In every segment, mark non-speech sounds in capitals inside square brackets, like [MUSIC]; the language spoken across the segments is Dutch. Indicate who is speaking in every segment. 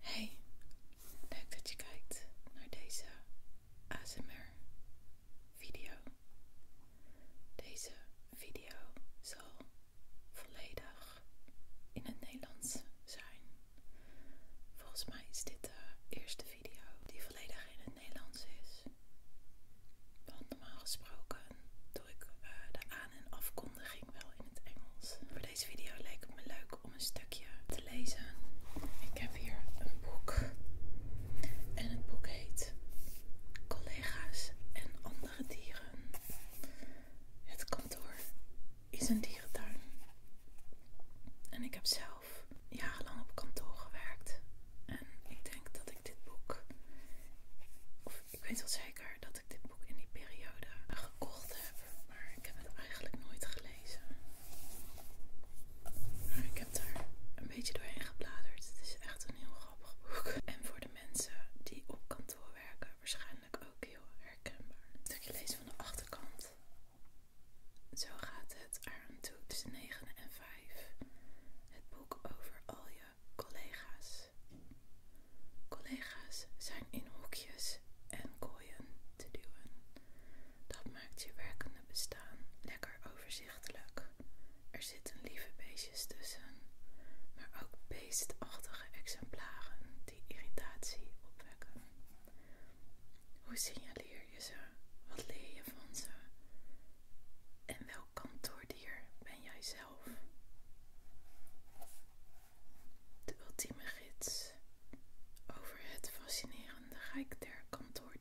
Speaker 1: Hey, leuk dat je kijkt naar deze ASMR video. Deze video zal volledig in het Nederlands zijn. Volgens mij is dit de eerste video die volledig in het Nederlands is. Want normaal gesproken doe ik eh, de aan- en afkondiging wel in het Engels deze video leek me leuk om een stukje te lezen. Ik heb hier een boek. En het boek heet Collega's en andere dieren. Het kantoor is een dierentuin. En ik heb zelf jarenlang op kantoor gewerkt. En ik denk dat ik dit boek, of ik weet wel zeker dat ik dit boek in die periode gekocht heb maar ik heb het eigenlijk nooit gelezen. Maar ik heb daar een beetje doorheen gebladerd. Het is echt een heel grappig boek. En voor de mensen die op kantoor werken, waarschijnlijk ook heel herkenbaar. Een stukje lezen van de achterkant. Zo gaat het Aan toe tussen 9 en 5. Het boek over al je collega's. Collega's zijn in hoekjes en kooien te duwen. Dat maakt je werkende bestaan lekker overzichtelijk. Er zitten lieve beestjes tussen, maar ook beestachtige exemplaren die irritatie opwekken. Hoe signaleer je ze? Wat leer je van ze? En welk kantoordier ben jij zelf? de ultieme gids over het fascinerende rijk der kantoordieren.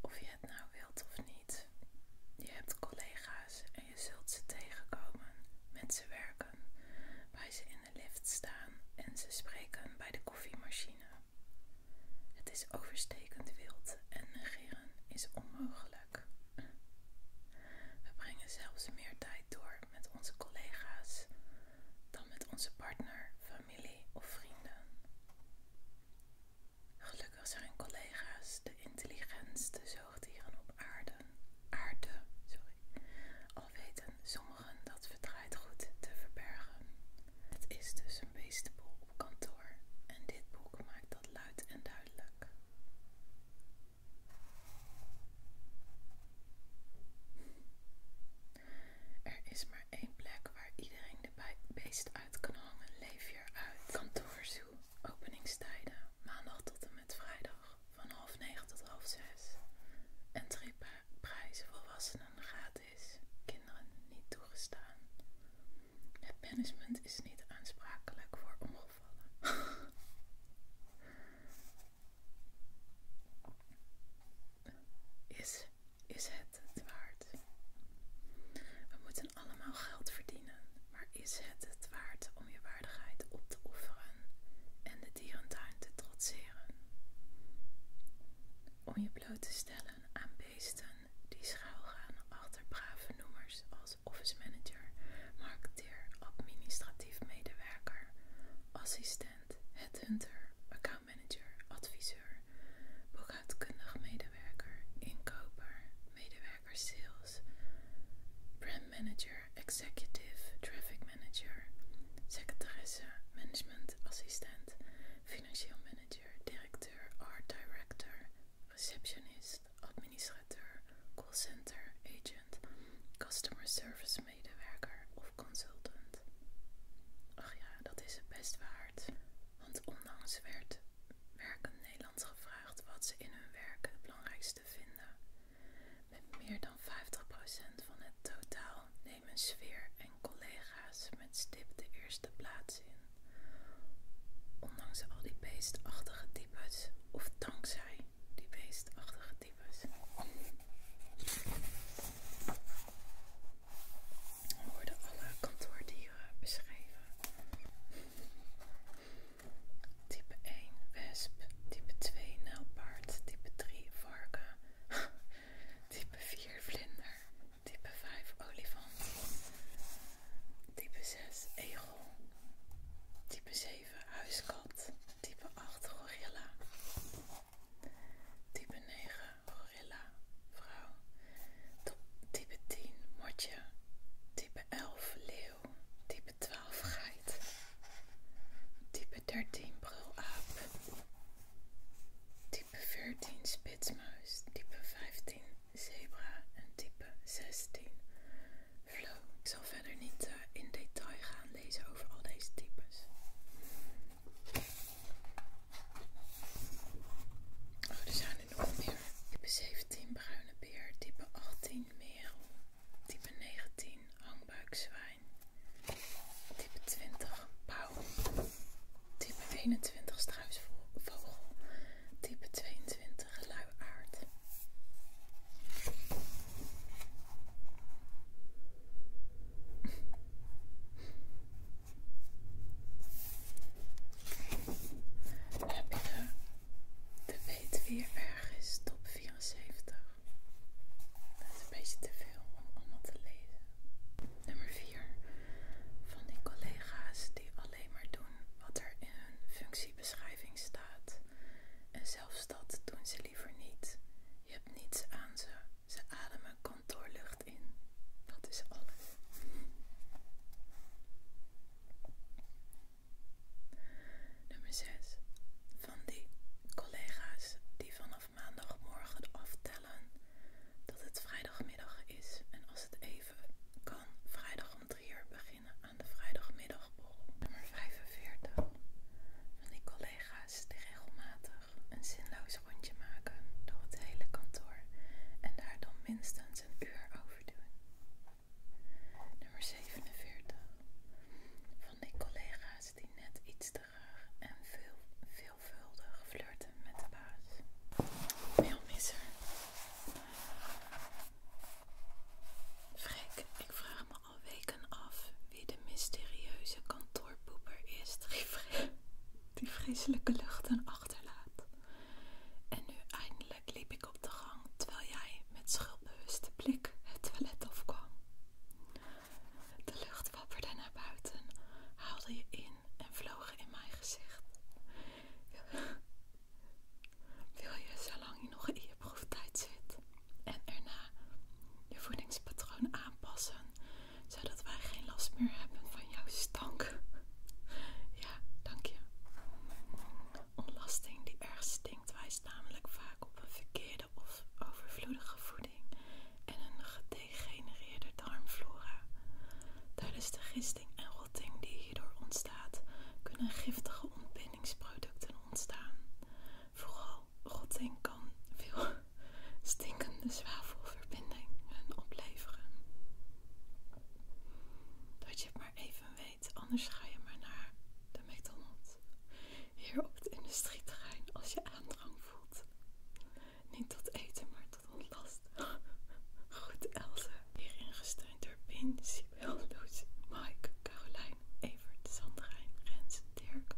Speaker 1: Of je het nou wilt of niet, je hebt collega's en je zult ze tegenkomen, met ze werken, bij ze in de lift staan en ze spreken bij de koffiemachine. Het is overstekend wild en negeren is onmogelijk. We brengen zelfs meer tijd door met onze collega's dan met onze partner, familie of vrienden. Gelukkig zijn collega's de intelligentste zoogdieren op aarde. aarde sorry. Al weten sommigen dat verdraaid goed te verbergen. Het is dus een beestenboel op kantoor en dit boek maakt dat luid en duidelijk. Er is maar één plek waar iedereen de beest uit kan hangen. Leef je uit. Kantoorzoe. Openingstijden. Maandag tot en met vrijdag. Van half negen tot half zes. En prijzen, volwassenen gratis. Kinderen niet toegestaan. Het management is niet aansprakelijk voor ongevallen. [LAUGHS] Is, is het het waard? We moeten allemaal geld verdienen, maar is het het waard om je waardigheid op te offeren en de dierentuin te trotseren? Om je bloot te stellen aan beesten die schuilgaan achter brave noemers als office manager, marketing administratief medewerker, assistent, headhunter, accountmanager, adviseur, boekhoudkundig medewerker, inkoper, medewerker sales, brand manager, executive, traffic manager, secretaresse, management assistent, financieel manager, directeur, art director, receptionist, administrateur, callcenter, agent, customer service medewerker of consultant. Ach ja, dat is het best waard. Want onlangs werd in Nederland gevraagd wat ze in hun werk het belangrijkste vinden. Met meer dan 50% van het totaal nemen sfeer en collega's met stip de eerste plaats in. Ondanks al die beestachtige types of dankzij die beestachtige types. Er worden alle kantoordieren beschreven. Type 1 wesp, type 2 nijlpaard, type 3 varken, [LAUGHS] type 4 vlinder, type 5 olifant, type 6 egel, type 7 huiskat, Type 8 gorilla. Type 9 gorilla vrouw. Type 10 motje. Type 11 leeuw. Type 12 geit. Type 13 brulaap. Type 14 spitsmuis. Type 15 zebra. En type 16 ik zal verder niet eh, in detail gaan lezen over al deze types. Oh, er zijn er nog meer. Type 17 bruine beer, type 18 merel, type 19 zwijn. type 20 pauw, type 21 struisvogel, type 22 nuchtere aard Heb je de, weet weer ergens top 74? Dat is een beetje te veel om allemaal te lezen. Nummer 4. Van die collega's die alleen maar doen wat er in hun functiebeschrijving staat. En zelfs dat doen ze liever niet. Je hebt niets aan ze. Ze ademen kantoorlucht in. Dat is alles. Nummer 6. Van die collega's die vanaf maandagmorgen aftellen dat het vrijdagmiddag is en als het even kan, vrijdag om 3 uur beginnen aan de vrijdagmiddagbol. nummer 45 van die collega's die regelmatig een zinloos rondje maken door het hele kantoor en daar dan minstens een uur over doen. Nummer 47 van die collega's die net iets te graag en veel, veelvuldig flirten met de baas. Mailmisser. Vrek, ik vraag me al weken af wie de mysterieuze kantoorpoeper is die, vre die vreselijke luchten achterlaat. En nu eindelijk liep ik op de gang terwijl jij met schuldbewuste blik het toilet afkwam. De lucht wapperde naar buiten, haalde je in en vloog in mijn gezicht. Wil je zolang je nog in je proeftijd zit en erna je voedingspatroon aanpassen, zodat wij geen last meer hebben van jouw stank? Ja, dank je. Ontlasting die erg stinkt wijst namelijk vaak op een verkeerde of overvloedige voeding en een gedegenereerde darmflora. Tijdens de gisting en rotting die door ontstaat, kunnen giftige ontbindingsproducten ontstaan. Vooral rotting kan veel stinkende zwavelverbindingen opleveren. Dat je het maar even weet, anders ga je maar naar de McDonald's. Hier op het industrieterrein als je aandrang voelt. Niet tot eten, maar tot ontlast. [LAUGHS] Goed, Elze. Hierin gesteund door Pinsie. Sibel, Lucy, Mike, Carolijn, Evert, Sandrine, Rens, Dirk,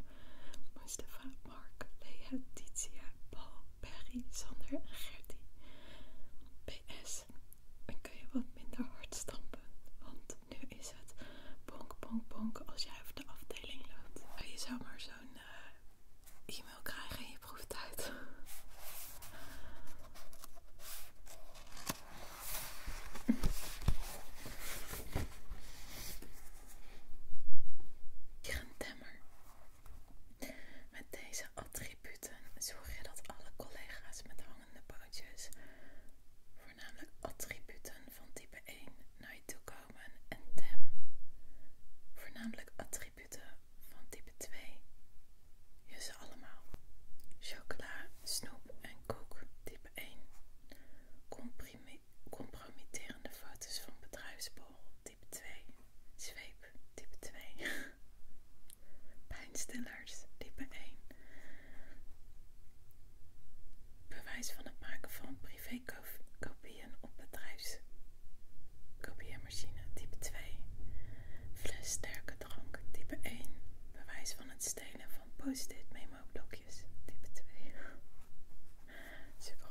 Speaker 1: Mustafa, Mark, Lea, Titia, Paul, Perry, Sander en Gertie. PS, dan kun je wat minder hard stampen, want nu is het bonk bonk bonk als jij over de afdeling loopt. En oh, je zou maar zo'n eh, e-mail krijgen in je proeftijd temmer. Met deze attributen zorg je dat alle collega's met hangende pootjes, voornamelijk attributen van type 1, naar je toe komen en tem, voornamelijk attributen van type 2 Jus allemaal. Chocola, snoep en koek type 1. Compromitterende foto's van bedrijfsborrel type 2. Zweep type 2. [LAUGHS] Pijnstillers type 1. Bewijs van het maken van privékopieën op kopieermachine type 2. Fles sterke Type 1. Bewijs van het stelen van post-it memo blokjes. Type 2. Super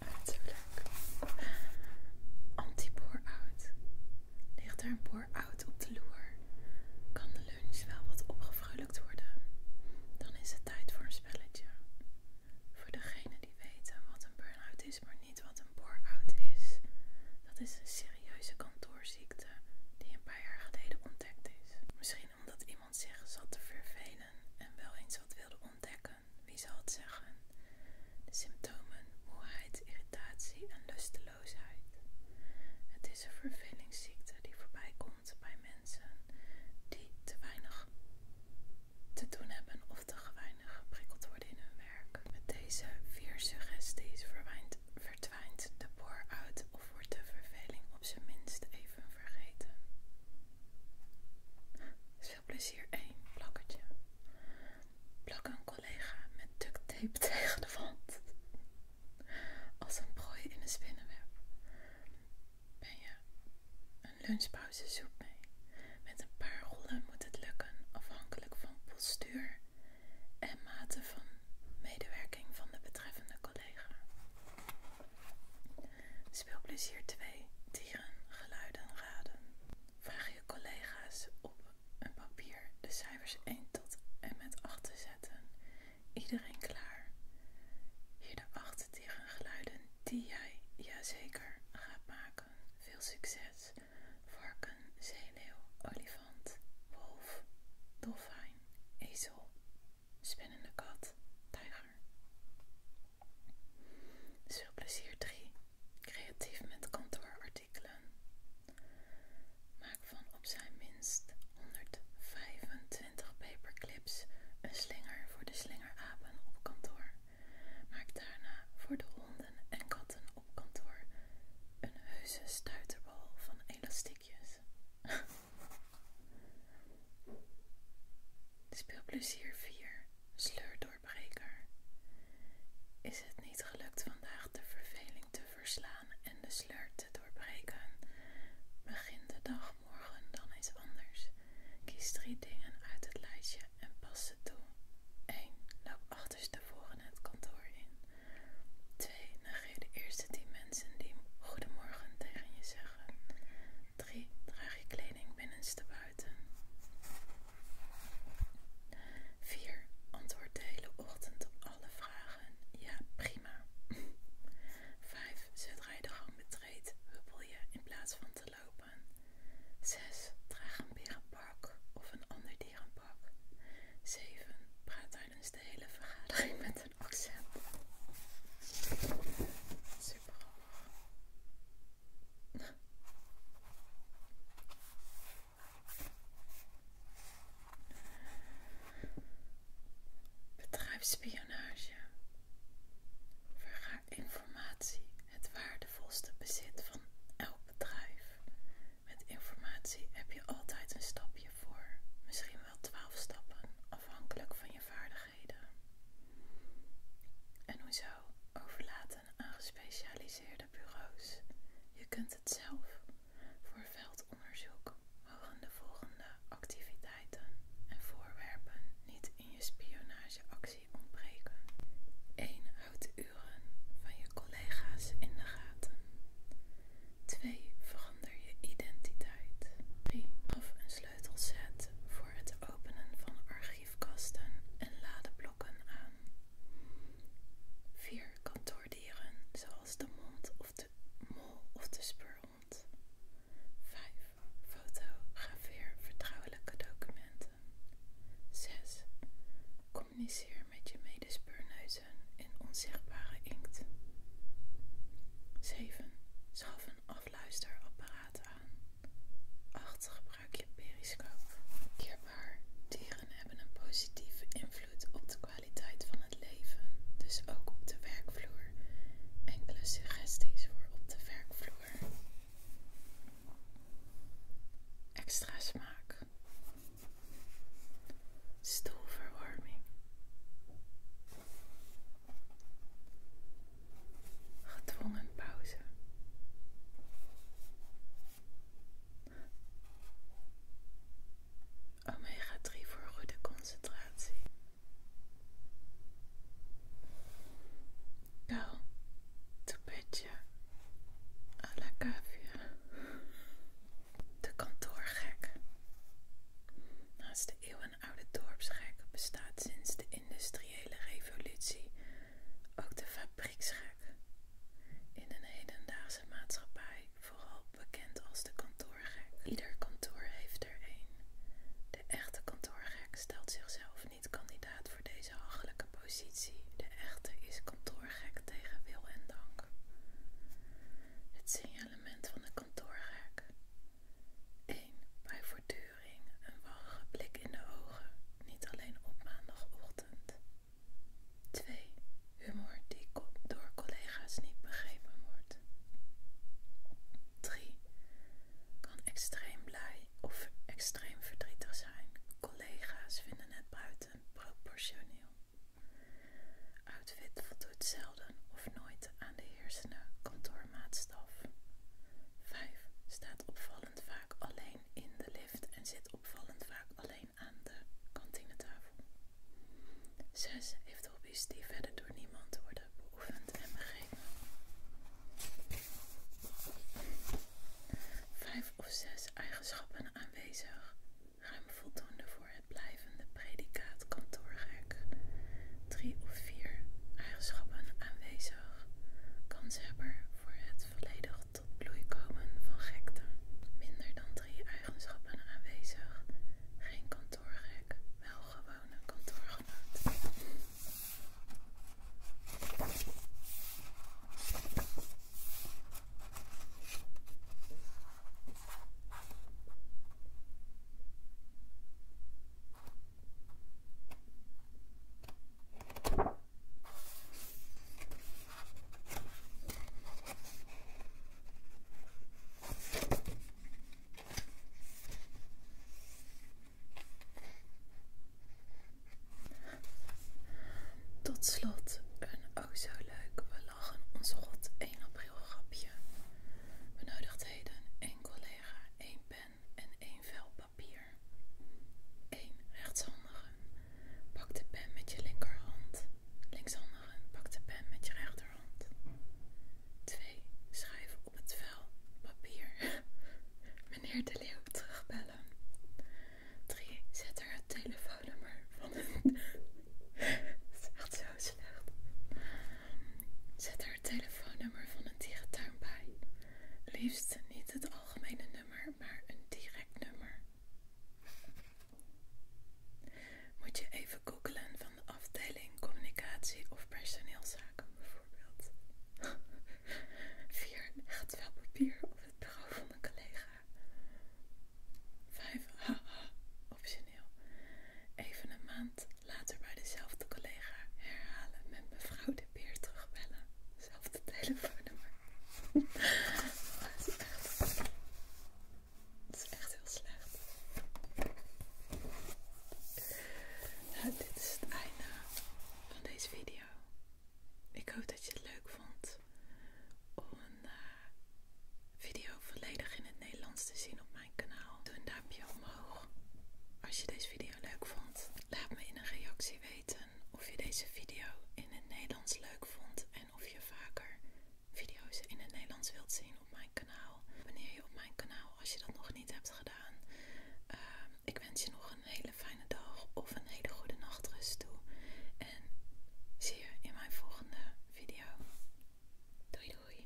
Speaker 1: Uiterlijk anti out Ligt er een boor-out op de loer? Kan de lunch wel wat opgevrolijkt worden? Dan is het tijd voor een spelletje. Voor degenen die weten wat een burn-out is, maar niet wat een boor-out is. Dat is een serieuze kantoorziekte die een paar jaar geleden ontdekt is. Misschien omdat iemand zich zat te vervelen en wel eens wat wilde ontdekken wie zal het zeggen? De symptomen: moeheid, irritatie en lusteloosheid. Het is een vervelingsziekte die voorbij komt bij mensen die te weinig te doen hebben of te weinig geprikkeld worden in hun werk. Met deze vier suggesties verdwijnt de boor uit of wordt de verveling op zijn minst even vergeten. Speelplezier 1 één Plak een collega met ducttape [LAUGHS] tegen de wand. Als een prooi in een spinnenweb. Ben je een lunchpauze soep mee. Met een paar rollen moet het lukken afhankelijk van postuur en mate van medewerking van de betreffende collega. Speelplezier 2. Dieren, geluiden, raden. Vraag je collega's op een papier de cijfers 1 tot en met 8 te zetten. Iedereen klaar. Hier de 8 tegen geluiden die jij jazeker gaat maken. Veel succes. Varken, zeeleeuw, olifant, wolf, dolfijn, ezel, spinnende kat, tijger. Speel plezier 3. Creatief met kantoorartikelen. Maak van op zijn minst 125 paperclips een slinger voor de slingerapen op kantoor. Maak daarna voor de honden en katten op kantoor een heuse stuiterbal van elastiekjes. [LAUGHS] Speelplezier 4. Sleur door is het niet gelukt vandaag de verveling te verslaan en de sleur te doorbreken? Begin de dag morgen dan eens anders. Kies drie dingen uit het lijstje en pas ze toe. 1. Loop achterstevoren het kantoor in. 2. Negeer de eerste 10 mensen die goedemorgen tegen je zeggen. 3. Draag je kleding binnenstebuiten. 4. Antwoord de hele ochtend op alle vragen. Ja, prima. 5. Zet rijden de gang betreed, huppel je in plaats van te lopen. 6. Draag een berenpak of een ander dierenpak. 7. Praat tijdens de hele vergadering met een accent. Super grappig. Bedrijfsspionage vergaar informatie, het waardevolste bezit van elk bedrijf. Met informatie heb je altijd een stapje voor, misschien wel twaalf stappen, afhankelijk van je vaardigheid en En hoezo overlaten aan gespecialiseerde bureaus? Je kunt het zelf voor veldonderzoek mogen de volgende activiteiten en voorwerpen niet in je spionageactie ontbreken. 1. Houd de uren van je collega's in de gaten. 2. Verander je identiteit. 3. of een voor het openen van archiefkasten en ladeblokken aan. 4. Kantoordieren zoals de mond of de mol of de speurhond. 5. Fotografeer vertrouwelijke documenten. 6. Communiceer met je medespeurneuzen in onzichtbare inkt. 7. Schaf een Luisterapparaat aan. 8. Gebruik je periscoop. Kierbaar. Dieren hebben een positieve invloed op de kwaliteit van het leven, dus ook op de werkvloer. Enkele suggesties voor op de werkvloer. Extra smaak. Stoelverwarming gedwongen pauze. Omega 3 voor goede concentratie. Go to bedje à De kantoorgek. Naast de eeuwen een oude dorpsgek bestaat sinds de industriële revolutie ook de fabrieksgek. In een hedendaagse maatschappij vooral bekend als de kantoorgek. Ieder kantoor heeft er een. De echte kantoorgek stelt zichzelf niet kandidaat voor deze hachelijke positie. De echte is kantoorgek tegen wil en dank. Het signalement van de kantoorgek 1. Bij voortduring een vage blik in de ogen, niet alleen op maandagochtend. 2. Humor die door collega's niet begrepen wordt. 3. Kan extreem blij of extreem verdrietig zijn. Collega's vinden het buiten proportioneel. Outfit voldoet zelden of nooit aan de heersende kantoormaatstaf. 5. Staat opvallend vaak alleen in de lift en zit opvallend vaak alleen aan de kantinetafel. 6. Heeft hobby's die verder door niemand worden beoefend en begrepen. 5 of 6 eigenschappen aanwezig, ruim voldoende voor het blijvende predicaat kantoor 3 drie of vier eigenschappen aanwezig. hebben voor het volledig tot bloei komen van gekte. Minder dan drie eigenschappen aanwezig. Geen kantoorrek, wel gewone kantoorgenoot. Tot slot een ook oh zo leuk, we lachen ons god 1 april grapje. Benodigdheden een collega, 1 en één vel papier. 1. Rechtshandigen. Pak de pen met je linkerhand. Linkshandigen. Pak de pen met je rechterhand. 2. Schrijf op het vel papier. [LAUGHS] Meneer De Leeuw terugbellen. 3. Zet er het telefoonnummer van. Het [LAUGHS] is echt zo slecht. Zet er het telefoonnummer van een dierentuin bij. Liefst niet het algemene nummer, maar een direct nummer. Moet je even googlen van de afdeling communicatie of personeelszaken bijvoorbeeld. 4. [LAUGHS] echt wel papier op het bureau van een collega. 5. Haha, optioneel. Even een maand later bij dezelfde collega herhalen met mevrouw de Beer terugbellen. Zelfde telefoonnummer. [LAUGHS] Het is echt, heel slecht. Nou, dit is het einde van deze video. Ik hoop dat je het leuk vond om een eh, video volledig in het Nederlands te zien op mijn kanaal. Doe een duimpje omhoog als je deze video leuk vond. Laat me in een reactie weten of je deze video in het Nederlands leuk vond en of je vaker video's in het Nederlands wilt zien op mijn kanaal. Abonneer je op mijn kanaal als je dat nog niet hebt gedaan. Ehm, ik wens je nog een hele fijne dag of een hele goede nachtrust toe. En zie je in mijn volgende video. Doei doei!